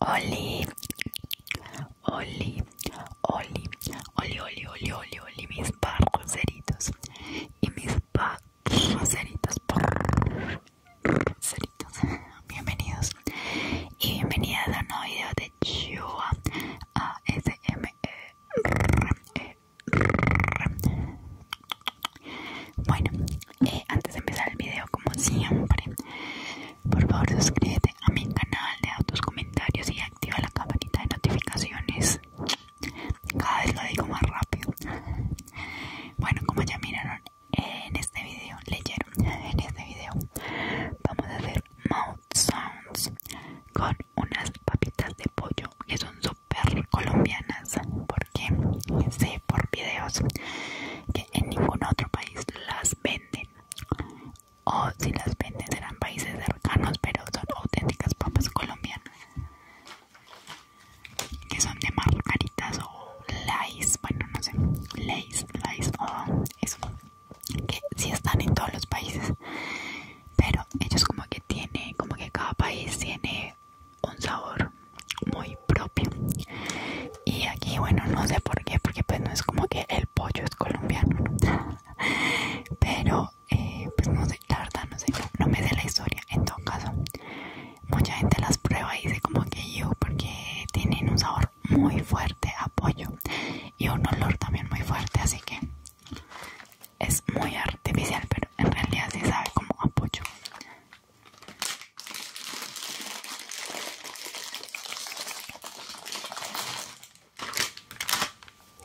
Oli, Oli, Oli, Oli, Oli, Oli, mis parroceritos y mis barcos ceritos bienvenidos y bienvenidas a un nuevo video de Chua ASMR. Bueno, eh, antes de empezar el video, como siempre, por favor suscríbete a mi canal, de tus comentarios y activa la campanita de notificaciones. Cada vez lo digo más rápido. Bueno, como ya miraron en este video, leyeron en este video, vamos a hacer mouth sounds con unas papitas de pollo que son per colombianas porque sé por videos que en ningún otro país las venden o si las venden serán países cercanos pero son auténticas papas colombianas que son de margaritas o lays bueno no sé lace lays o eso que sí están en todos los países pero ellos como que tiene como que cada país tiene un sabor muy propio y aquí bueno no sé por qué porque pues no es como que el pollo es colombiano pero eh, pues no sé la no sé no, no me sé la historia en todo caso mucha gente las prueba y dice como que yo porque tienen un sabor muy fuerte a pollo y un olor también muy fuerte así que es muy artificial pero en realidad sí sabe como a pollo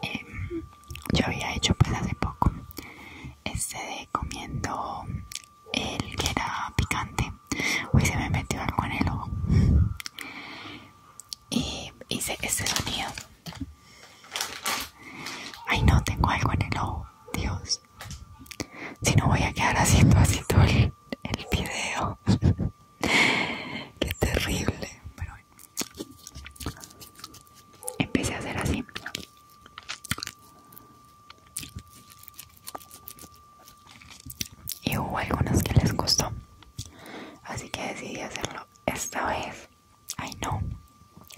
Em, yo había hecho pues hace poco este de comiendo el que era picante Uy se me metió algo en el ojo y hice este sonido ay no tengo algo en el ojo dios si no voy a quedar haciendo así todo el, video. Qué terrible. Pero Empecé a hacer así. Y hubo algunos que les costó. Así que decidí hacerlo esta vez. Ay no,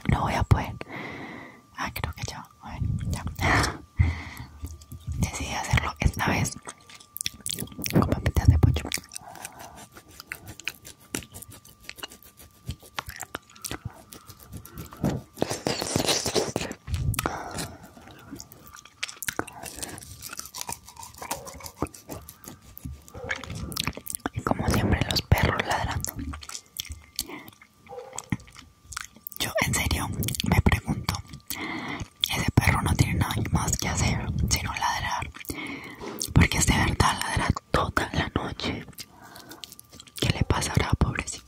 no voy a poder. Ah, creo que ya. Decidí hacerlo esta vez con papitas de pocho Y como siempre los perros ladrando yo en serio me pregunto, ese perro no tiene nada más que hacer sino ladrar, porque es de verdad ladrar toda la noche. ¿Qué le pasará, pobrecito?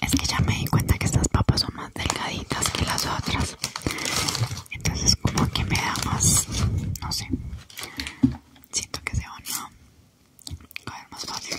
Es que ya me di cuenta que estas papas son más delgaditas que las otras. Entonces como que me da más, no sé. Siento que se van a caer más fácil.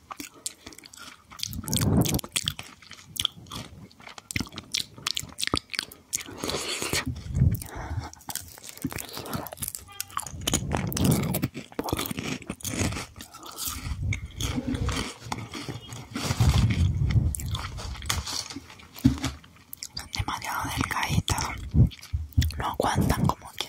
Son demasiado delgaditas, no aguantan como que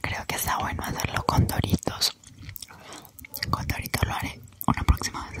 Creo que está bueno hacerlo con doritos. Con doritos lo haré una próxima vez.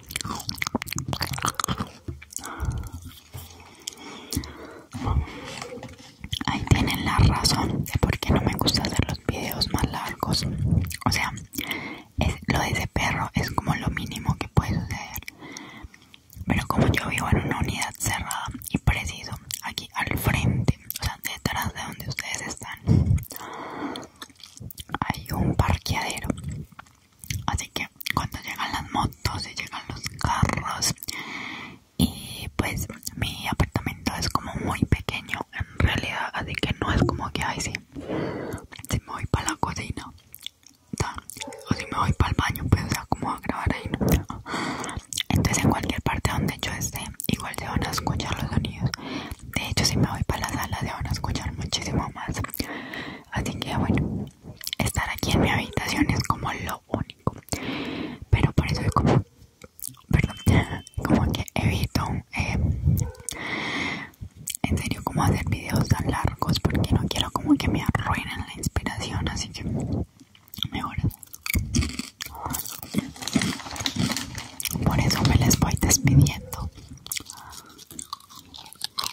Ahí tienen la razón de por qué no me gusta hacer los videos más largos. O sea, lo de ese perro es como lo mínimo que puede suceder. Pero como yo vivo en una unidad cerrada y preciso, aquí al frente, o sea, detrás de donde ustedes están, hay un parqueadero. Así que cuando llegan las motos y llegan los carros y pues mi apartamento es como muy pequeño en realidad, así que no es como que ay Si me voy para la cocina o si me voy para el baño, pues o como a grabar ahí. ¿no? Entonces en cualquier parte donde yo esté, igual se van a escuchar los sonidos. De hecho, si me voy para la sala, se van a escuchar muchísimo más. Así que bueno, estar aquí en mi habitación es como lo único. Pero por eso como, perdón, como que evito, eh, en serio, como hacer videos tan largos porque no quiero como que me arruinen la inspiración. Así que, mejor. Por eso me les voy despidiendo.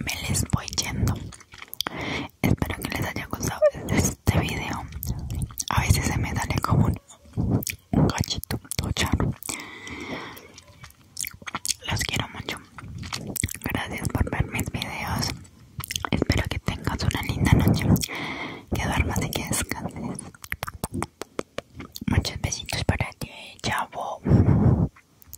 me les voy yendo espero que les haya gustado este video a veces se me sale como un, cachito, los quiero mucho gracias por ver mis videos espero que tengas una linda noche que duermas y que descanses muchos besitos para ti chao